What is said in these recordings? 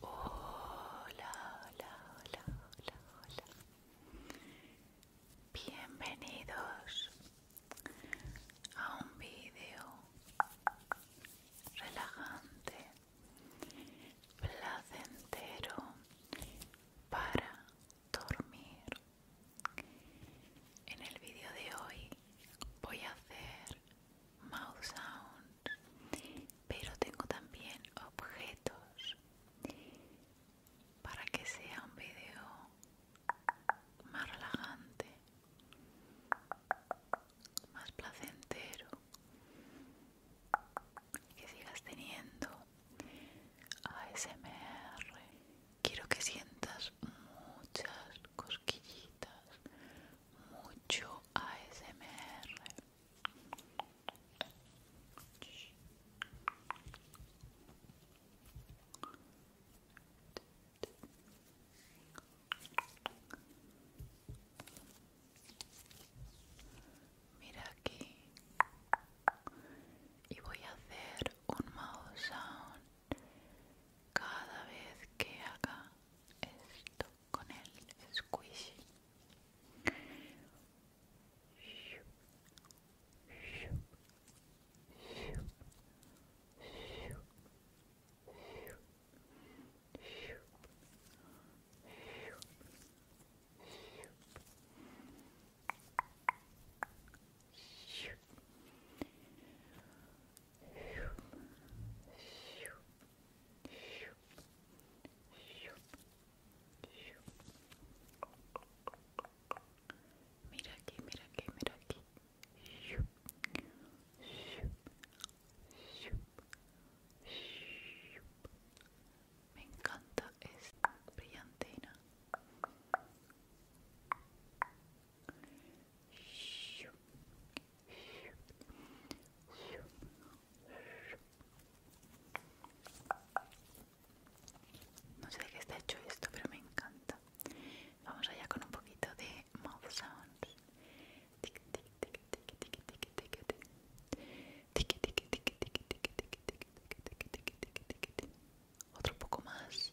Hola, hola, hola, hola, hola. Bienvenidos a un vídeo relajante, placentero para dormir. En el vídeo de hoy voy a hacer mouth sound pero tengo también objetos para que sea un video más relajante más placentero y que sigas teniendo ASMR quiero que sientas muchas cosquillitas mucho ASMR Mira aquí y voy a hacer un mouse sound cada vez que haga esto con el squishy Mira aquí, mira aquí, mira aquí. Me encanta esta brillantina. No sé de qué está hecho esto, pero me encanta. Vamos allá con un poquito de mouth sounds. Otro poco más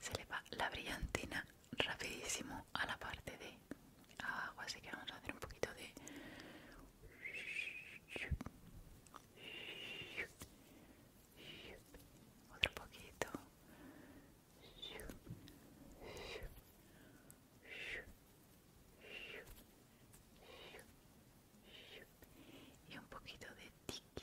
se le va la brillantina rapidísimo a la parte de agua así que vamos a hacer un poquito de otro poquito y un poquito de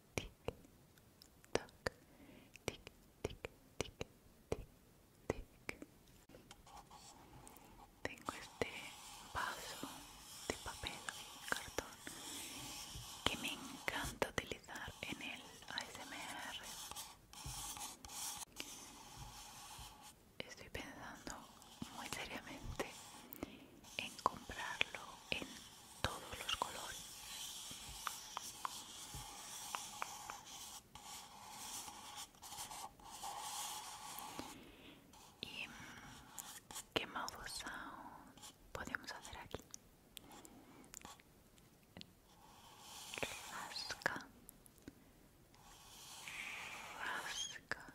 tic toc tic tic tic tic tengo este vaso de papel y cartón que me encanta utilizar en el ASMR estoy pensando muy seriamente en comprarlo en todos los colores y qué modos podemos hacer aquí rasca rasca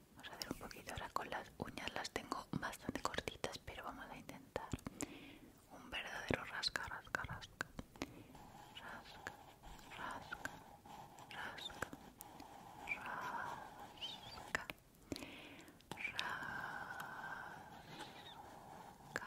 Vamos a hacer un poquito ahora con las uñas, las tengo bastante cortitas, pero vamos a intentar un verdadero rasca, rasca, rasca. Rasca, rasca, rasca, rasca. Rasca. Rasca.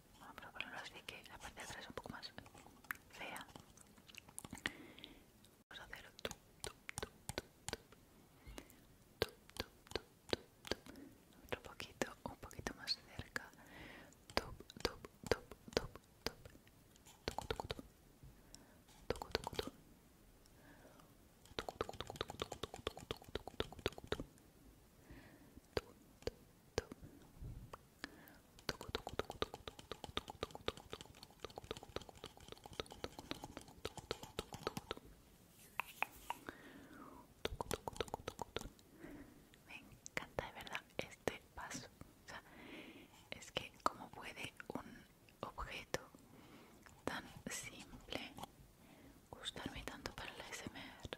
Vamos ah, a probarlo así que la parte de atrás es un poco más fea. Vamos a hacer poquito, un poquito más cerca. Me encanta de verdad este paso. es que como puede un objeto tan simple gustarme tanto para la SMR.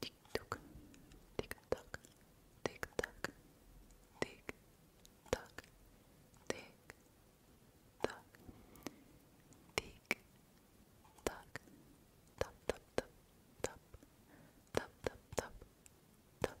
Tick tock, tick tock, tick tock, tick tock, tick tock, tick tock, tap tap tap tap, tap tap tap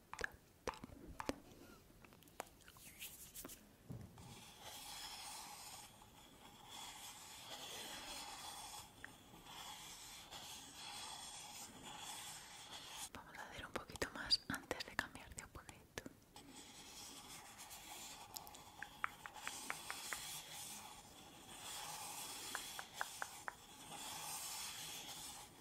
Vamos a hacer un poquito más antes de cambiar de objeto.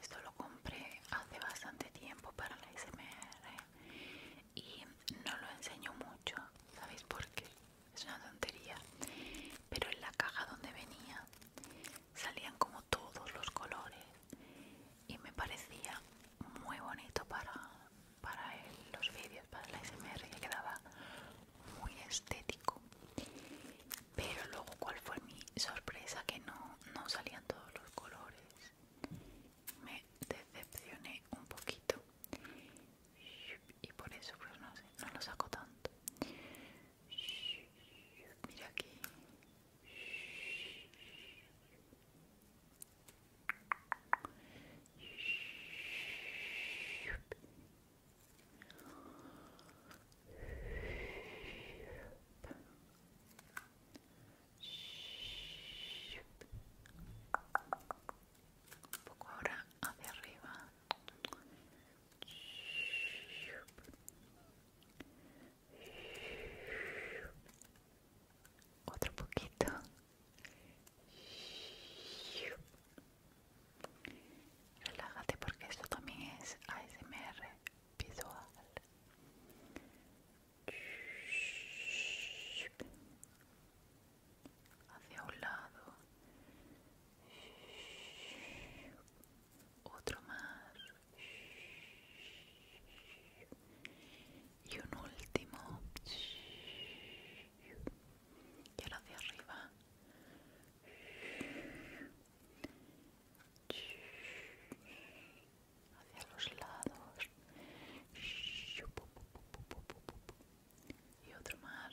Esto lo compré hace bastante tiempo para la SMR y no lo enseño mucho, ¿sabéis por qué? Es una tontería, pero en la caja donde venía salían como todos los colores y me parecía muy bonito para, los vídeos, para la SMR, y quedaba muy estético. Pero luego, ¿cuál fue mi sorpresa? Que no, no salían todos los colores. Me decepcioné un poquito y por eso, pues no no lo saco tanto. Mira aquí, Un poco ahora hacia arriba. Otro poquito. Relájate porque esto también es ASMR visual. Hacia un lado. Otro más y un último Que hacia arriba hacia los lados y otro más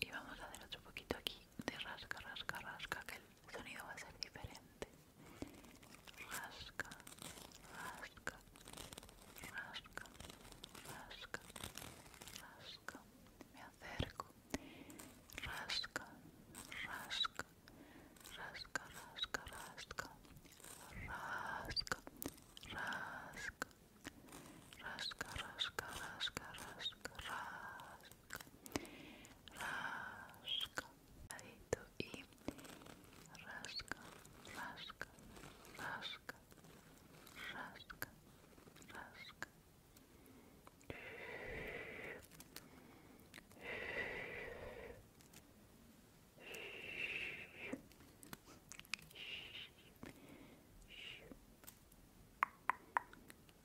Y vamos a hacer otro poquito aquí de rasca, rasca, rasca, que el sonido va a ser diferente. Rasca, rasca, rasca, rasca, rasca, me acerco, rasca, rasca, rasca, rasca, rasca, rasca, rasca, rasca, rasca, rasca, rasca, rasca, rasca, y rasca, rasca, rasca, rasca, rasca.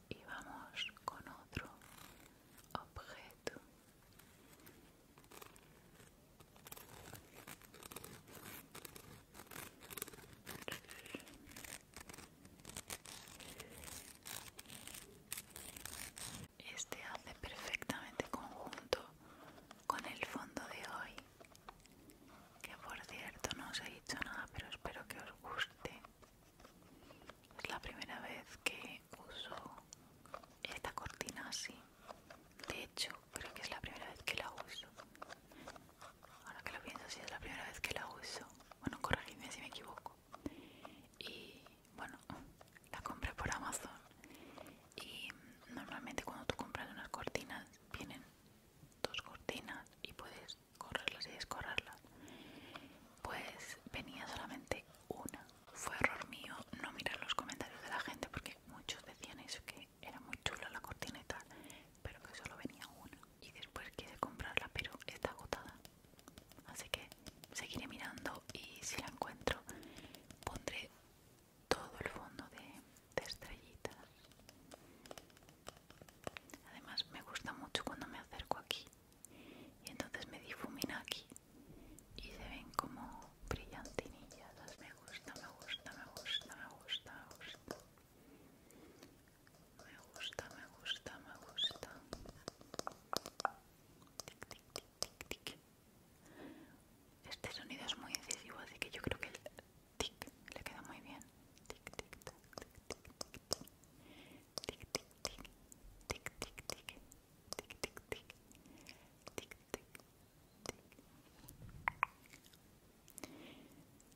Y vamos con otro objeto. Este hace perfectamente conjunto con el fondo de hoy, que por cierto no os he dicho nada, pero espero que os guste. Es la primera vez que uso esta cortina así. De hecho, creo que es la primera vez que la uso ahora que lo pienso si es la primera vez que la uso bueno corrígeme si me equivoco y bueno la compré por amazon y normalmente cuando tú compras unas cortinas vienen dos cortinas y puedes correrlas y descorrerlas pues venía solamente una fue error mío no mirar los comentarios de la gente porque muchos decían eso que era muy chula la cortina y tal pero que solo venía una y después quise comprarla pero está agotada así que seguiré mirando y si la encuentro pondré todo el fondo de, estrellitas además me gusta mucho cuando me acerco aquí y entonces me difumina aquí y se ven como brillantinillas me gusta me gusta me gusta me gusta me gusta me gusta, me gusta, me gusta. Este sonido es muy decisivo así que yo creo que el tic le queda muy bien.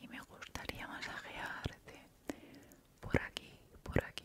Y me gustaría masajearte por aquí, por aquí,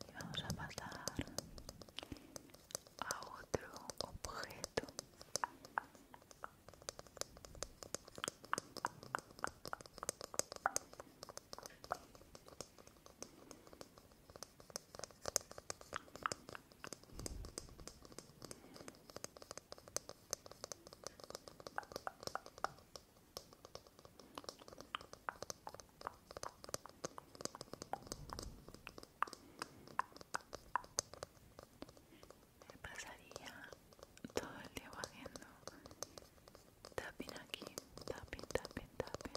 y vamos a pasar a otro objeto me pasaría todo el día haciendo tapping aquí, tapping, tapping, tapping,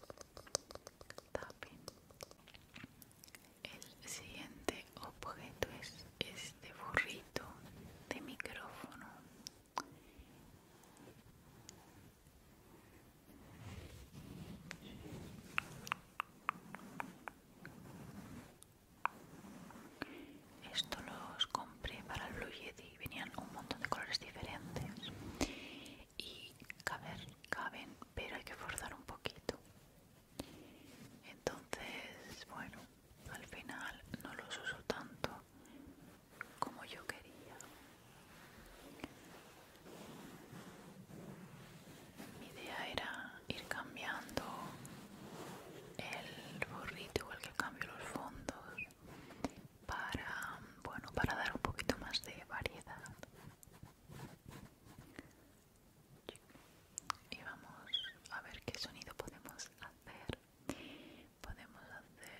El siguiente objeto es este burrito de micrófono. Esto los compré para el Blue Yeti, venían un montón de colores diferentes y caben, caben, pero hay que forzar un poquito. Entonces, bueno, al final no los uso tanto como yo quería. Mi idea era ir cambiando el borrito igual que cambio los fondos para bueno para dar un poquito más de variedad y vamos a ver qué sonido podemos hacer podemos hacer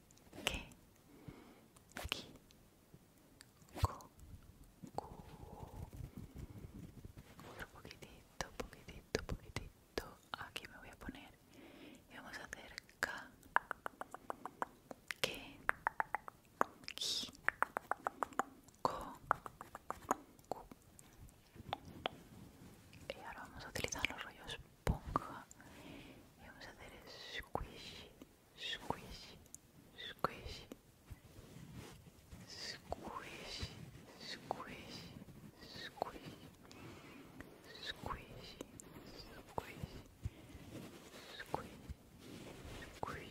que que cu, otro poquitito poquitito poquitito aquí me voy a poner y vamos a hacer que ki ko y ahora vamos a utilizar los rollos esponja e vamos fazer squish, squish, squish, squish, squish, squish, squish, squish, squish, squish, squish, squish,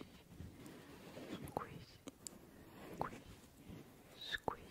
squish.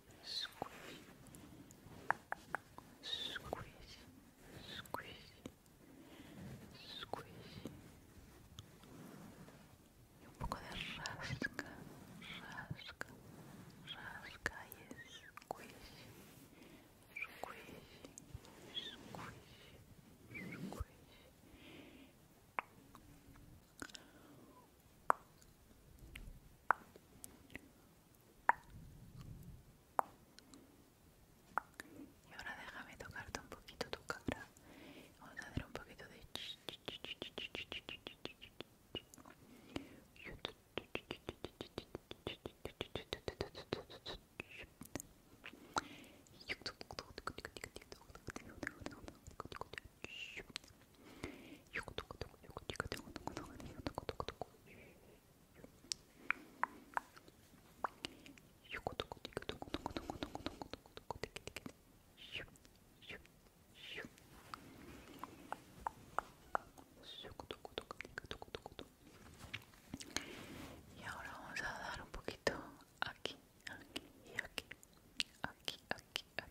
squish, squeeze, squeeze, squeeze Y un poco de rasca, rasca, rasca y squish, squish, squish, y ahora déjame tocarte un poquito tu cara. Vamos a un poquito de... Y ahora vamos a dar un poquito aquí, aquí aquí, aquí, aquí, aquí,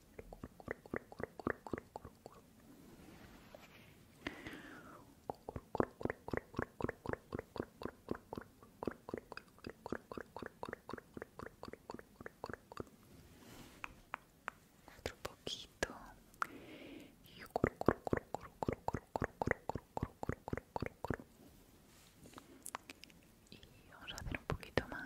Otro poquito. Y vamos a hacer un poquito más.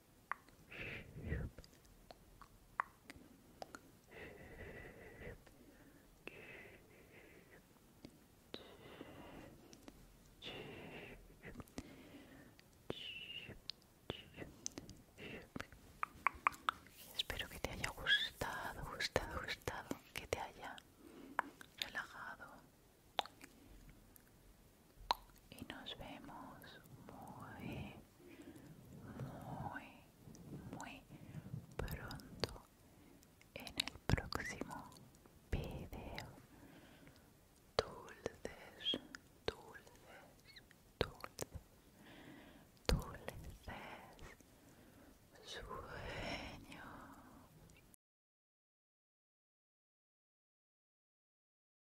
Espero que te haya gustado, gustado, gustado, que te haya relajado y nos vemos muy, muy, muy pronto en el próximo video. Dulces, dulces, dulces, dulces, sueños.